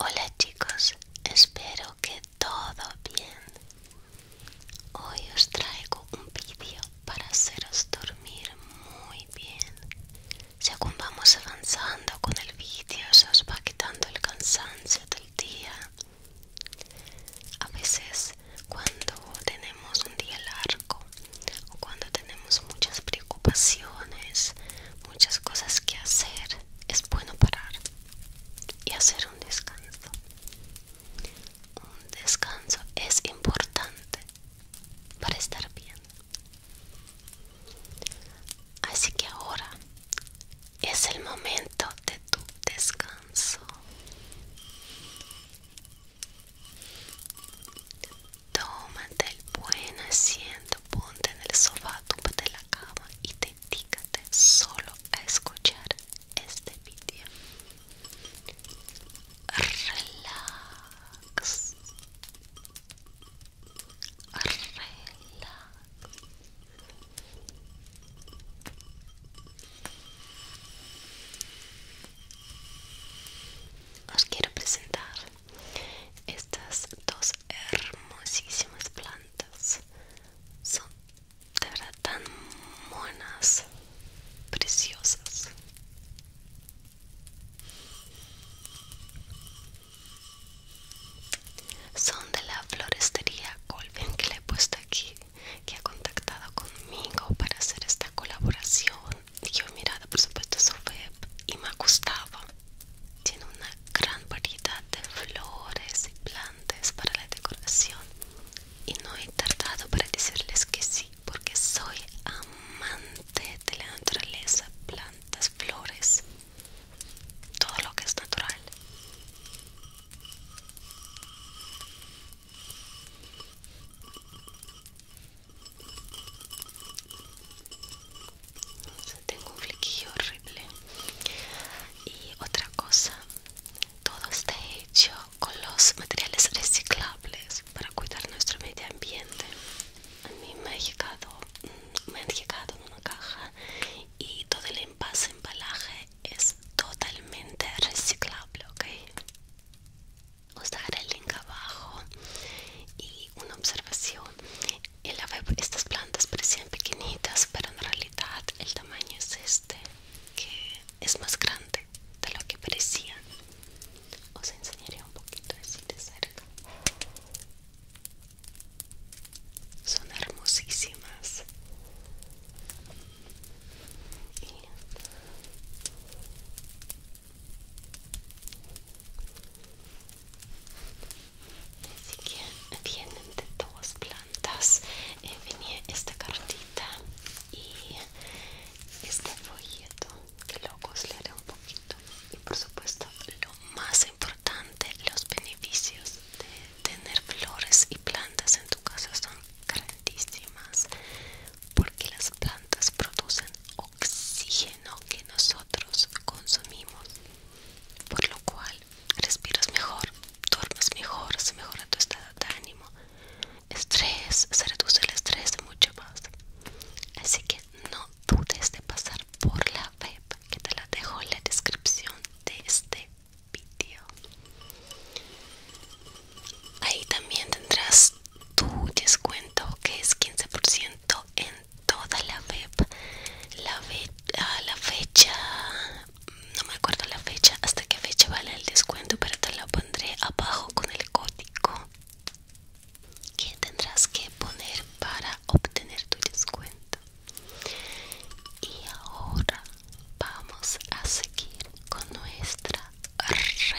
Hola chicos, espero que todo bien. Hoy os traigo un vídeo para haceros dormir muy bien. Según vamos avanzando con el vídeo, se os va el cansancio del día. A veces cuando tenemos un día largo o cuando tenemos muchas preocupaciones, muchas cosas que hacer, es bueno parar y hacer un descanso. Un descanso es importante para estar bien. Así que ahora es el momento de tu descanso. Tómate el buen asiento, ponte en el sofá, tómate la cama y dedícate solo a escuchar este video Relax. Relax. Os quiero presentar estas dos hermosísimas plantas. Son de verdad tan monas, preciosas. Son de la florestería Colvin que le he puesto aquí, que ha contactado conmigo para hacer esta colaboración. Y yo he mirado, por supuesto, su web y me ha gustado. Tiene una gran variedad de flores y plantas para la decoración. Y no he tardado para decirles que sí, porque soy amante de la naturaleza, plantas, flores todo lo que es natural. Tengo un flequillo horrible. Y otra cosa, todo está hecho con los materiales reciclables para cuidar nuestro medio ambiente a mí me ha llegado mm, me han llegado en una caja y todo el envase embalaje es totalmente reciclable ok os daré el link abajo y una observación el estas plantas parecían pequeñitas pero en realidad el tamaño es este que es más grande de lo que parecía os enseñaré un poquito así de cerca son hermosísimas y así que vienen de todas plantas eh, venía esta cartita y este folleto que lo coslearé un poquito y por supuesto lo más importante los beneficios de tener flores y plantas en tu casa son grandísimas porque las plantas producen oxígeno que nosotros consumimos por lo cual respiras mejor duermes mejor se mejora tu estado de ánimo estrés se reduce el estrés mucho más así que no no dudes de pasar por la web que te la dejo en la descripción de este vídeo ahí también tendrás tu descuento que es 15% en toda la web la, a la fecha no me acuerdo la fecha hasta qué fecha vale el descuento pero te lo pondré abajo con el código que tendrás que poner para obtener tu descuento y ahora vamos a seguir con nuestra relajación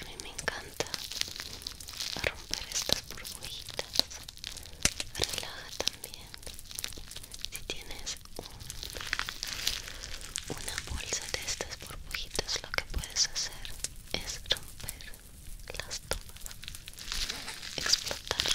A mí me encanta romper estas burbujitas. Relaja también. Si tienes una bolsa de estas burbujitas lo que puedes hacer es romper las tomas explotarlas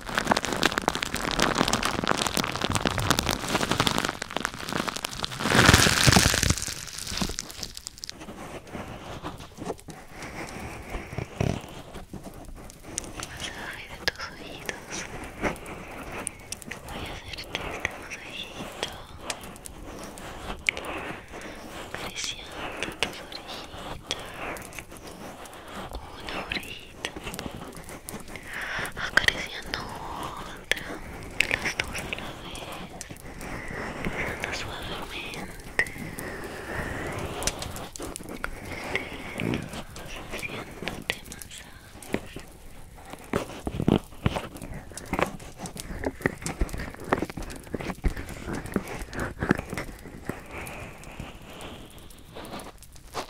Masaje de tus ojitos. Voy a hacerte este masajito. Acariciando tus orejitas. Una orejita acariciando otra, las dos a la vez, pasando suavemente, haciéndote masajes.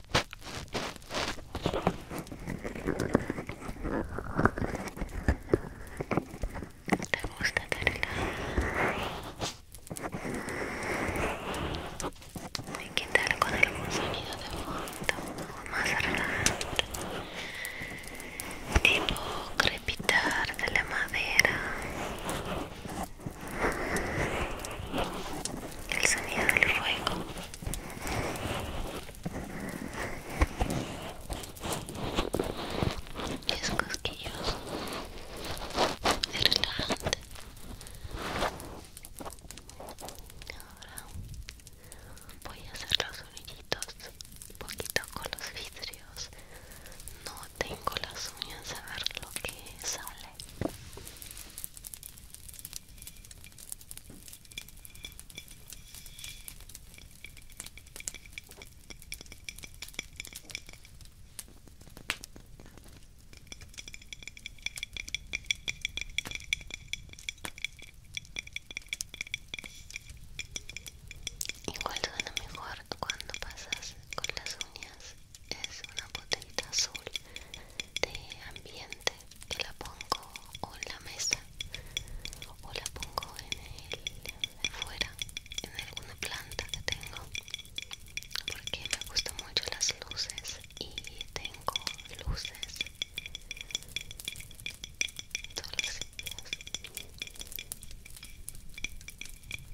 ¿Te gusta cargar? que quitar con algún sonido de fondo más relajante tipo crepitar de la madera el sonido del fuego es cosquilloso es relajante ahora voy a hacer los orillitos un poquito con los vidrios no tengo las uñas a ver lo que sale Igual suena mejor cuando pasas con las uñas es una botellita azul de ambiente que la pongo o en la mesa o la pongo en el afuera, en alguna planta que tengo porque me gustan mucho las luces y tengo luces todos los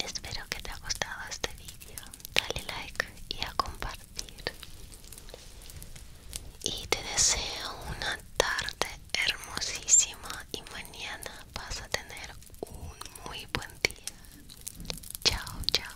Espero que te ha gustado este vídeo. Dale like y a compartir. Y te deseo una tarde hermosísima y mañana vas a tener un muy buen día. Chao, chao.